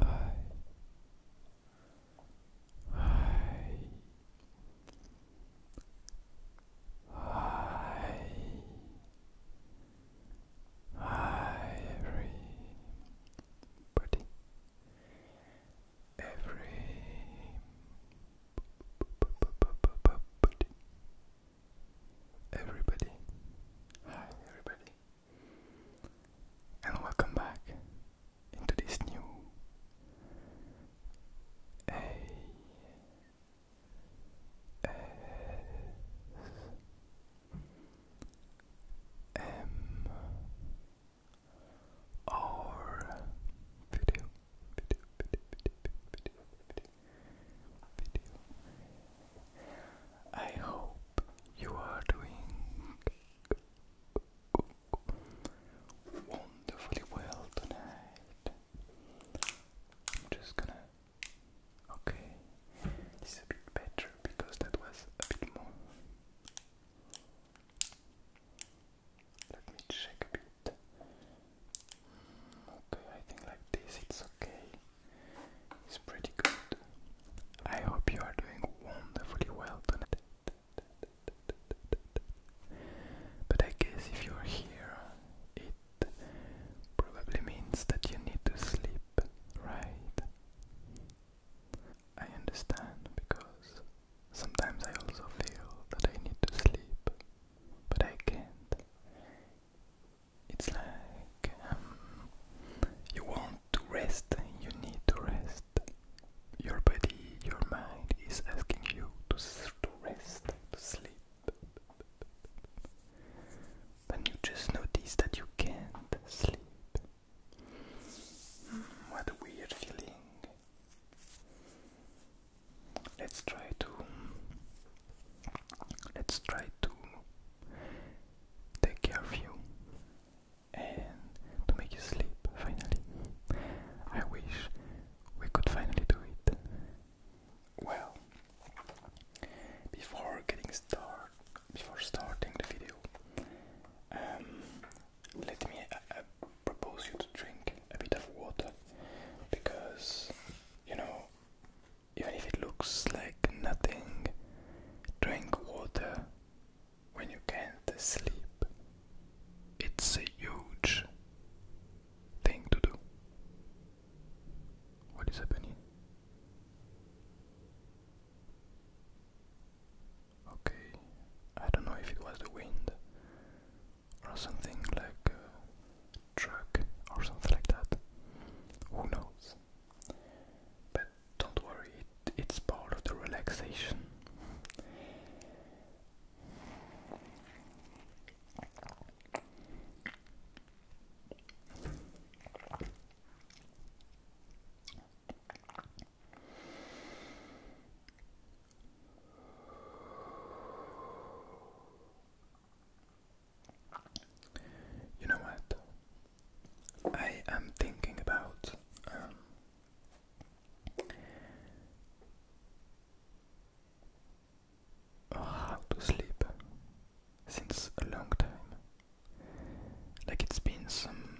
Hi. Hi. Hi. everybody. Every. Every everybody. Hi, everybody. And welcome back into this new A S M R video video. I hope you are doing wonderfully well tonight. I'm just gonna. Okay, it's a bit better because that was a bit more. Let me check a bit. Okay, I think like this it's okay. It's pretty good. I hope you are doing wonderfully well tonight. But I guess if you're here, it probably means that you need to sleep, right? I understand because sometimes I also feel that I need to sleep, but I can't it's like um, you want to rest, you need to rest. Your body, your mind is asking you to, to rest, to sleep. But you just notice that you can't sleep. Hmm, what a weird feeling. Let's try to let's try to take care of you and to make you sleep finally. I wish we could finally do it. Well, before getting start, before starting the video, um, let me uh, uh, propose you to drink a bit of water because you know even if it looks like nothing. Drink water when you can't sleep. It's a huge thing to do. What is happening? Okay, I don't know if it was the wind or something like a truck or something like that. Who knows? But don't worry, it's part of the relaxation. You know what? I am thinking about um, how to sleep since a long time. Like it's been some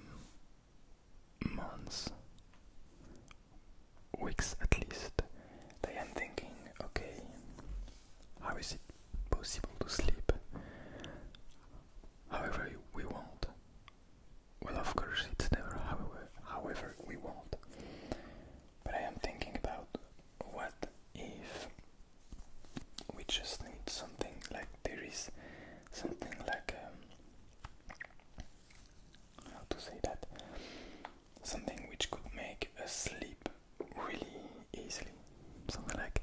months, weeks at least. I am thinking, okay, how is it possible to sleep however we won't. Well, of course, it's never however, however we won't. But I am thinking about what if we just need something like there is something like um, how to say that something which could make a sleep really easily. Something like,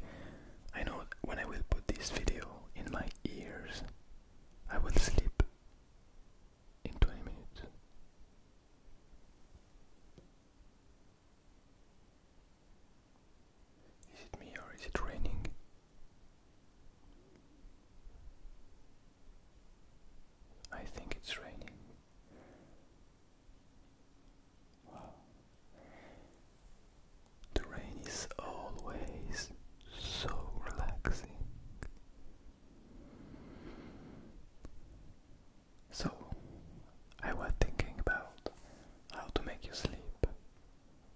I know when I will put this video in my ears, I will sleep in 20 minutes. Is it me or is it raining? I think it's raining. The rain is always so relaxing. So, I was thinking about how to make you sleep.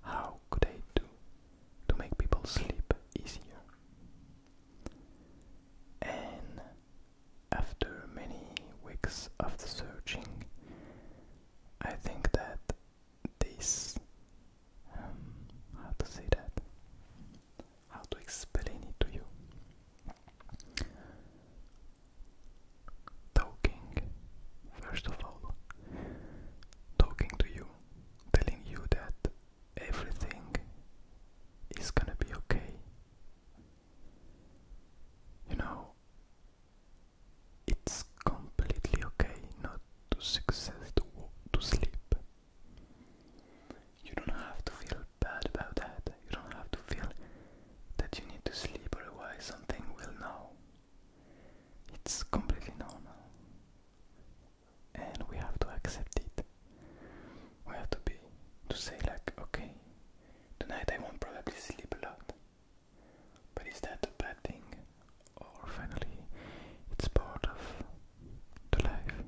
How could I do to make people sleep easier? And after many weeks of searching, I think that this um, how to say that how to explain it to you talking first of all talking to you telling you that everything is gonna be okay you know it's completely okay not to succeed to, to sleep. You don't have to feel bad about that. You don't have to feel that you need to sleep, otherwise something will know. It's completely known, And we have to accept it. We have to be to say like okay, tonight I won't probably sleep a lot. But is that a bad thing? Or finally, it's part of the life?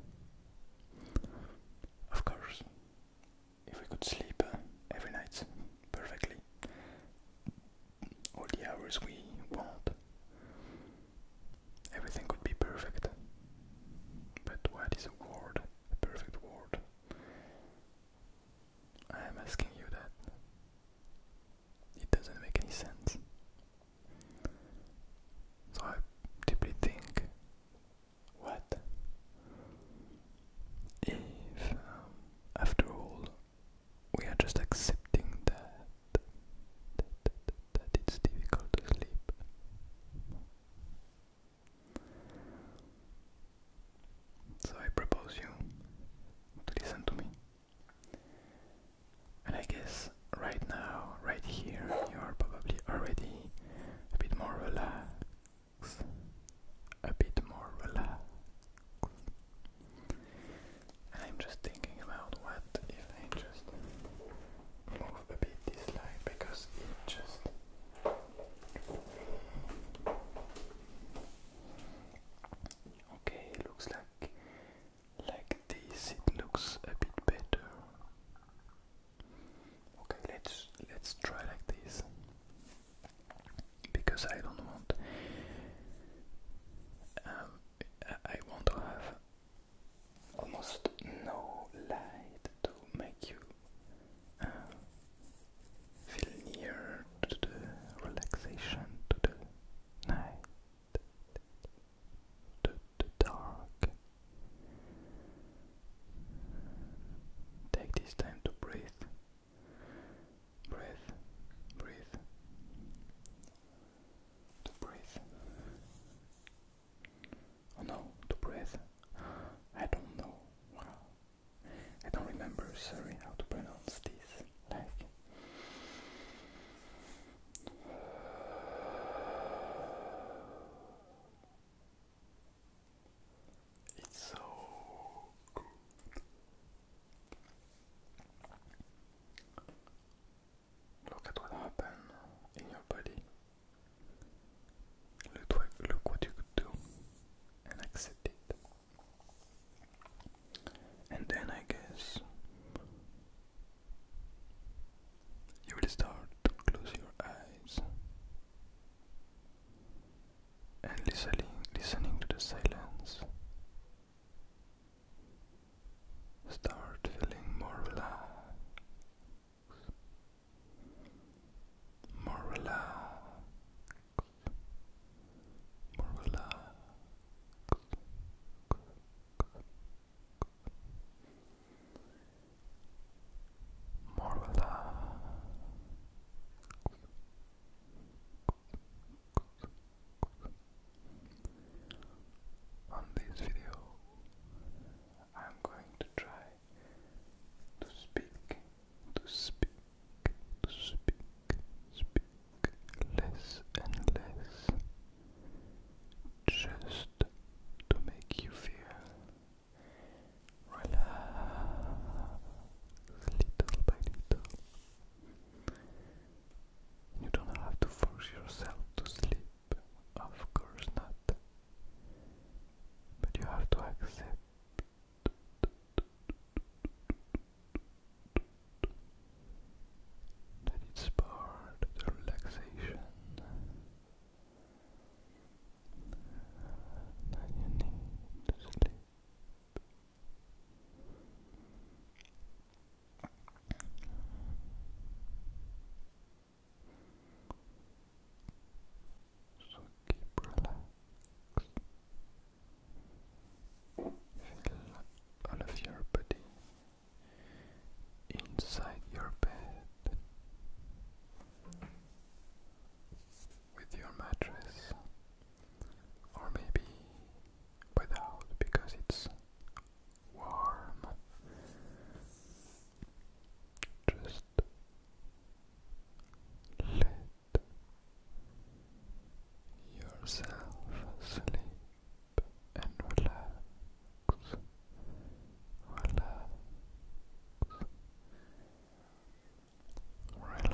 Of course, if we could sleep uh, every night perfectly, all the hours we want, everything would be perfect. But what is a word? a perfect word? I am asking you that. It doesn't make any sense. So I deeply think what if, um, after all, we are just accepting that, that it's difficult to sleep? So I propose you to listen to me. And I guess right now, right here, you are probably already a bit more relaxed. A bit more relaxed. I'm just thinking about what if I just move a bit this slide because it just Okay, it looks like like this it looks a bit better. Okay, let's let's try like this because I don't want um, I want to have almost no light to make you feel near to the relaxation, to the night, to the dark. Take this time to breathe, breathe, breathe, to breathe. Oh no, to breathe. I don't know. I don't remember, sorry, how to pronounce this. Like, it's so good. Look at what happened in your body. Look what, you do and accept it. And then I guess you will start to close your eyes and listening listening to the silence. Start feeling more relaxed. More relaxed more relaxed. On this video, I'm going to try to speak to speak, to speak, speak less and less, just to make you feel relaxed little by little. You don't have to force yourself to sleep, of course not. But you have to accept that it's part of relaxation that you need to sleep. So keep relaxed. Feel all of your body inside your bed with your mattress or maybe without because it's warm. Just let yourself sleep and relax, relax, relax. Relax. Relax.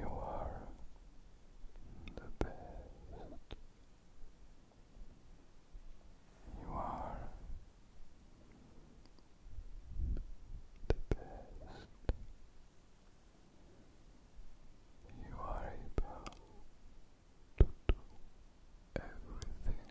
You are the best. You are the best. You are able to do everything.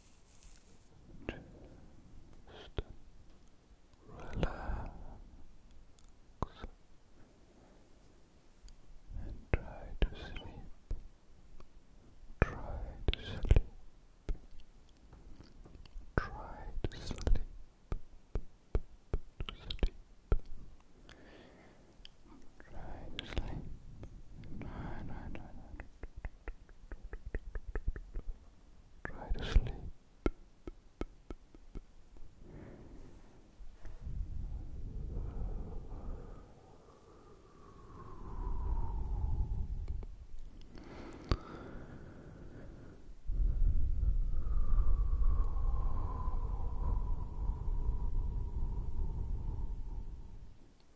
Just relax and try to sleep. Try to sleep. Try to sleep. Sleep. Try to sleep. Try, to sleep.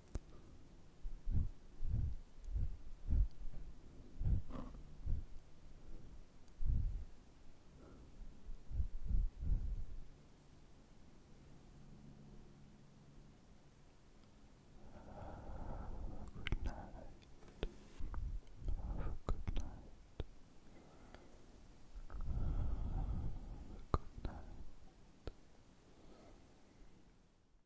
Good night. Have a good night. Have a good night.